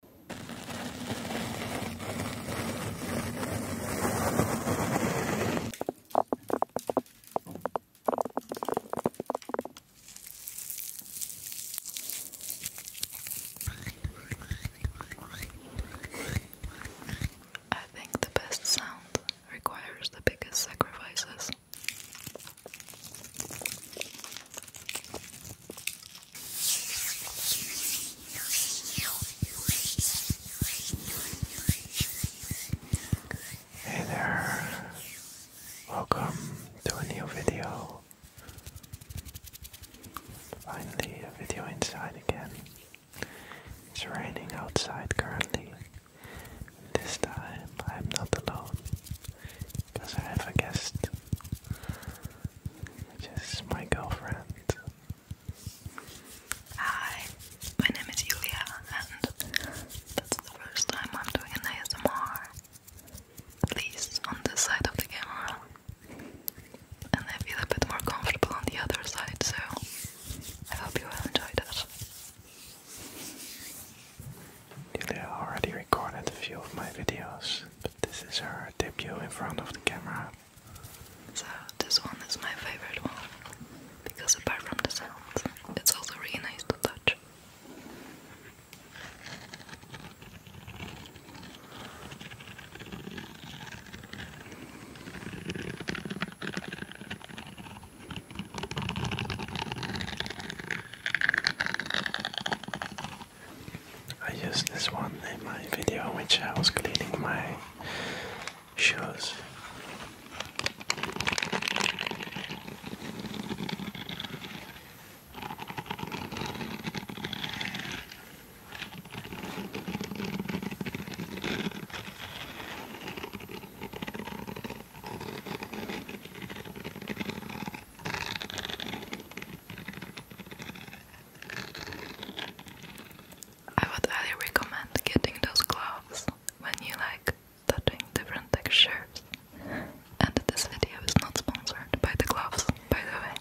I think the best sound requires the biggest sacrifices. Hey there, welcome to a new video. Finally, a video inside again. It's raining outside currently. This time I'm not alone because I have a guest this is my girlfriend. Hi, my name is Julia, and that's the first time I'm doing ASMR, at least on this side of the camera. And I feel a bit more comfortable on the other side, so I hope you will enjoy that. Julia already recorded a few of my videos, this is her debut in front of the camera. So this one is my favorite one because apart from the sound, it's also really nice to touch. I used this one in my video which I was cleaning my shoes. I would highly recommend getting those gloves when you like touching different textures. And this video is not sponsored by the gloves, by the way.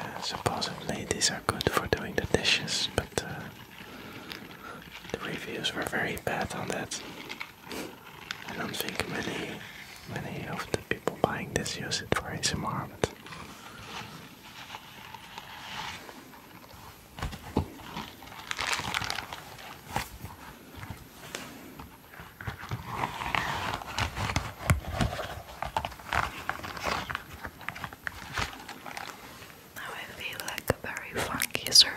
Uh, supposedly these are good for doing the dishes, but uh, the reviews were very bad on that. I don't think many many of the people buying this use it for any harm. now I feel like a very funky surgeon.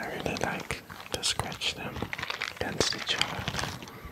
I really like to scratch them against each other.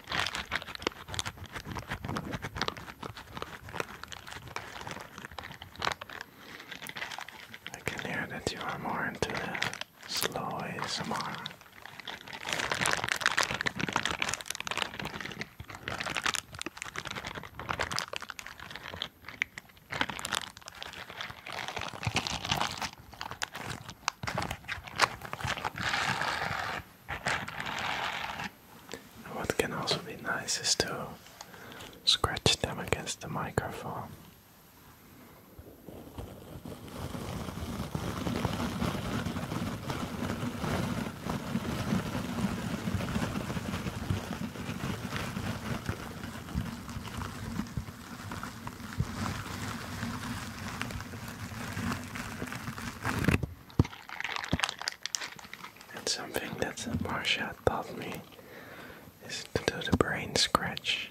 I can hear that you are more into the slow ASMR. What can also be nice is to scratch them against the microphone. And something that Marsha taught me is to do the brain scratch.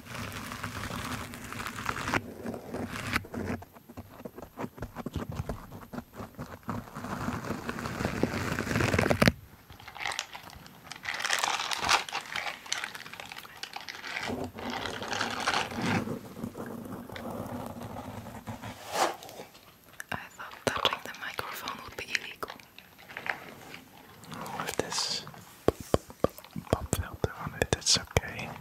I thought touching the microphone would be illegal. Oh, this pop filter on it's okay.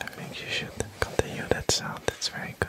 I think you should continue that sound, That's very good.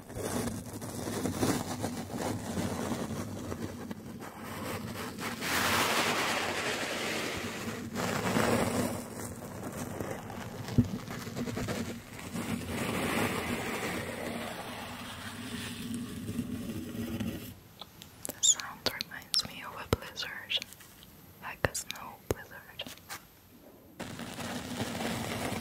The sound reminds me of a blizzard, like a snow blizzard.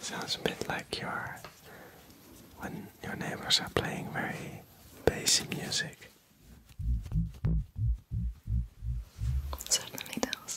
Sounds a bit like your when your neighbors are playing very bassy music. certainly does.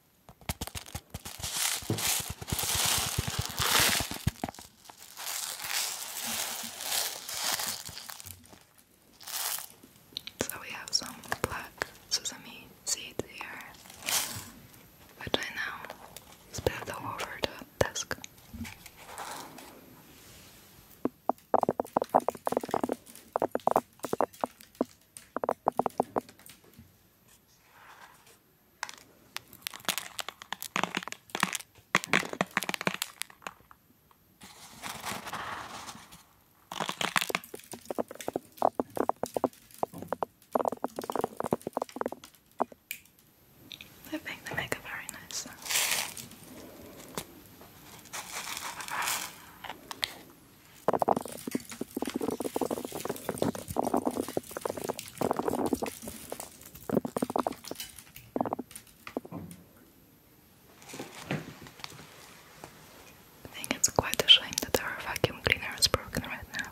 So we have some black sesame seeds here, which I now spilled over the desk. They're the makeup very nice. I think it's quite a shame that our vacuum cleaner is broken right now.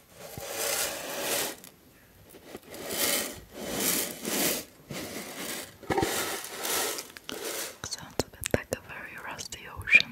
Sounds a bit like a very rusty ocean.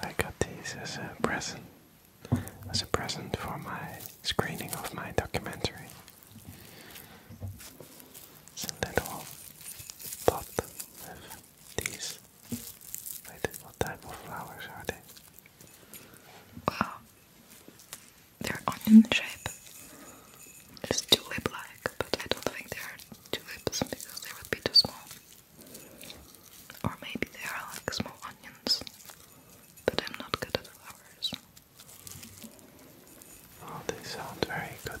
I got these as a present as a present for my screening of my documentary. So a all. pot of these. Wait, what type of flowers are they? Wow. They're onion shape. It's tulip like, but I don't think they are tulips because they would be too small. Or maybe they are like small onions. But I'm not good at flowers. Oh, they sound very good.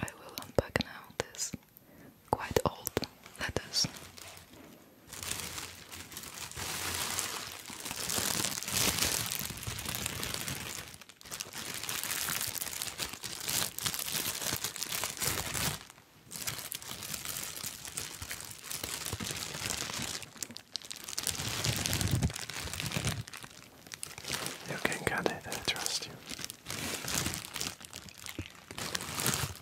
I will unpack now this quite old letters you can cut it, I trust you.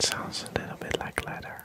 Sounds a little bit like leather.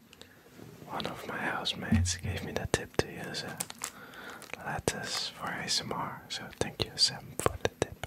One of my housemates gave me the tip to use a uh, lattice for ASMR, so thank you, Sam, for the tip.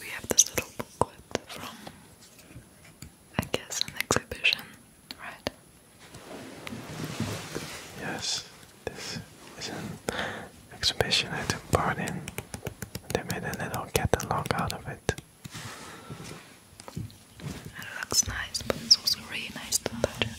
We have this little booklet from, I guess, an exhibition, right? Yes, this is an exhibition I took part in. They made a little catalog out of it. And it looks nice, but it's also really nice to touch it.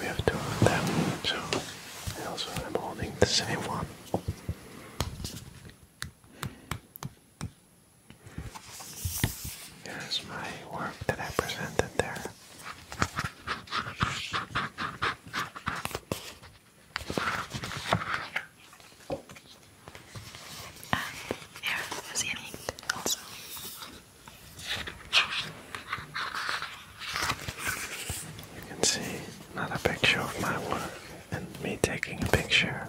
We have two of them, so I am holding the same one. Here's my work that I presented there there was any also. You can see another picture of my work and me taking a picture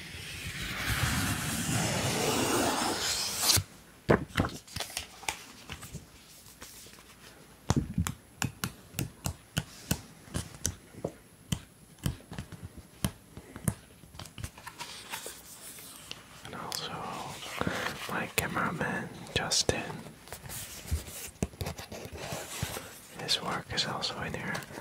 And also my cameraman Justin. His work is also in here.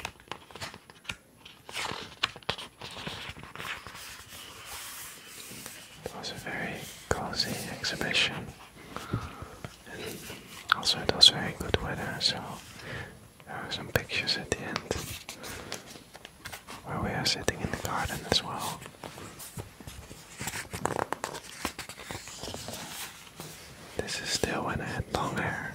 It was a very cozy exhibition, and also it was very good weather, so some pictures at the end where we are sitting in the garden as well. This is still when I had long hair.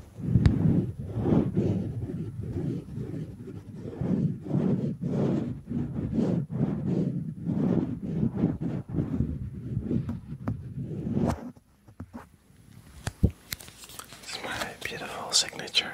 It's my beautiful signature.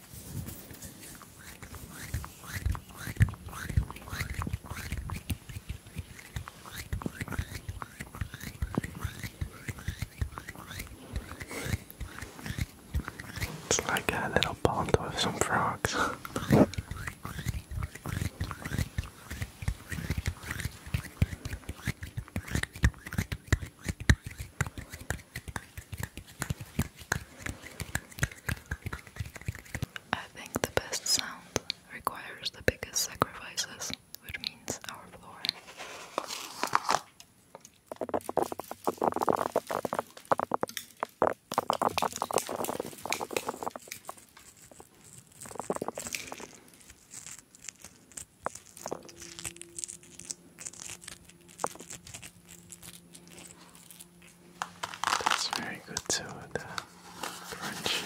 It's like a little pond with some frogs. I think the best sound requires the biggest sacrifices, which means our floor. That's very good too, the crunchy.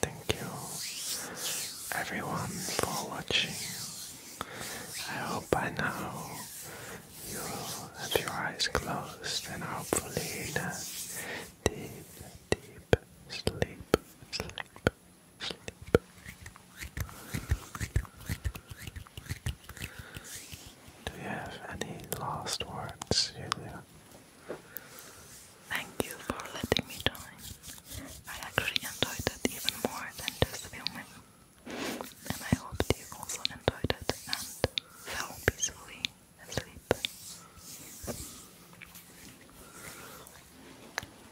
Thank you everyone for watching. I hope by now you have your eyes closed and hopefully in a deep, deep sleep, sleep, sleep. Do you have any last words, Julia? Thank you for letting me join. I actually enjoyed it even more than just filming. And I hope you also enjoyed it and fell peacefully asleep.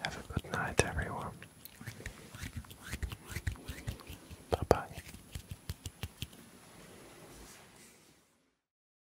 Have a good night, everyone. Bye bye.